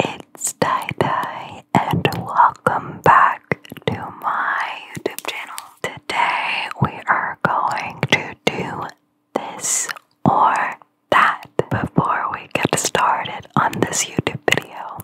It's Tie and welcome back to my YouTube channel. Today we are going to do this or that. Before we get started on this YouTube video,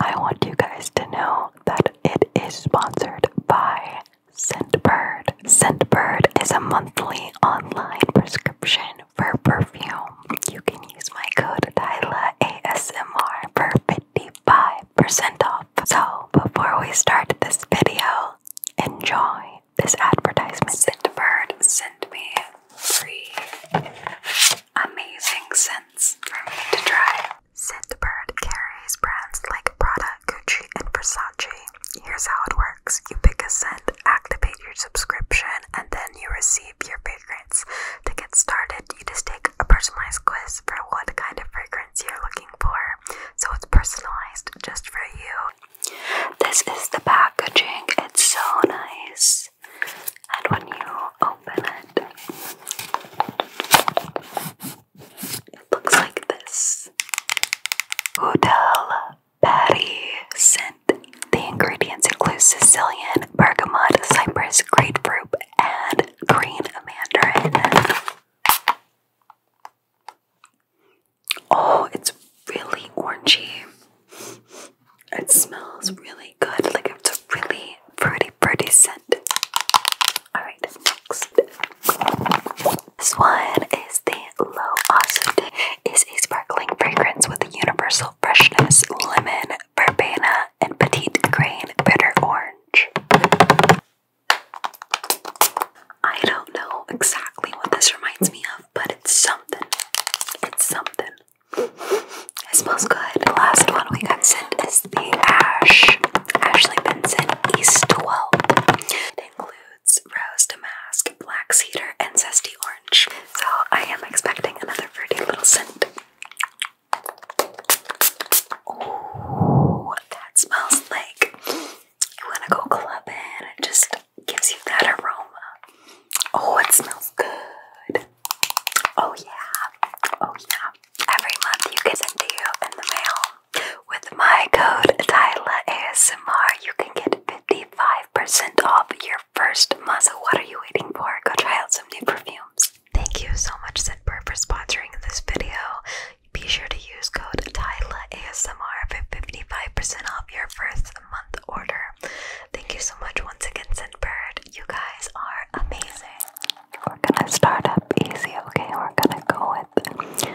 I want you guys to know that it is sponsored by Scentbird. Scentbird is a monthly online prescription for perfume. You can use my code Tyla ASMR for 55% off. So before we start this video, enjoy this advertisement Scentbird sent me free, amazing scents for me to try. Scentbird carries brands like Prada, Gucci, and Versace. Here's how it works you pick a scent, activate your subscription, and then you receive your fragrance. To get started, you just take a personalized quiz for what kind of fragrance you're looking for. So it's personalized just for you. This is the packaging, it's so nice. And when you open it, it looks like this. Hotel Patty The ingredients include Sicilian, bergamot, cypress, grapefruit, and green mandarin. Oh, it's really orangey. It smells really good, like it's a really fruity, fruity scent. Alright, next. This one is the Low Osude. It's a sparkling fragrance with a universal freshness, lemon, verbena, and petite grain bitter orange. I don't know exactly what this reminds me of but it's something. It's something. It smells good. The last one we got sent is the Ash Ashley Benson East 12. It includes rose damask, black cedar, and zesty orange. So I am expecting another fruity little scent. Oh, that smells like you want to go clubbing just gives you that aroma. Oh, it smells good. Oh, yeah. Oh, yeah. Every month you get sent to in the mail. With my code Tyla ASMR, you can get 55% off your first month. So, what are you waiting for? Go try out some new perfumes. Thank you so much, Scentbird, for sponsoring this video. Be sure to use code Tyla ASMR for 55% off your first month order. Thank you so much once again, Sinbird. You guys are amazing. We're gonna start up easy, okay? We're gonna go with this.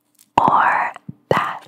or that.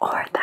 or that.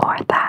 Or that.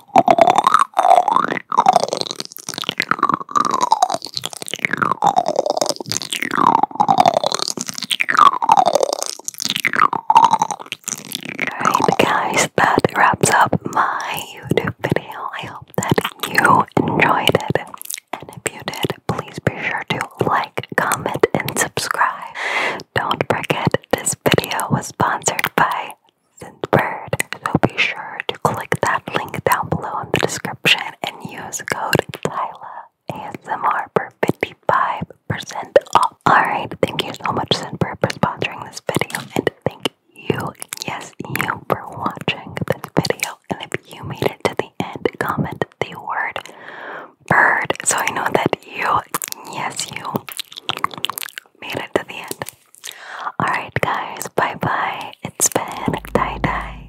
Alright guys, that wraps up my YouTube video. I hope that you enjoyed it. And if you did, please be sure to like, comment, and subscribe. Don't forget this video was sponsored by Synthbird. So be sure to click that link down below in the description and use code Tyla ASMR for 55% off. Alright, thank you so much Synthbird for sponsoring this video and thank you, yes you, for watching this video. And if you made it to the end, comment the word bird so I know that you, yes you, made it to the end. Alright, guys, bye bye. It's been tie dye.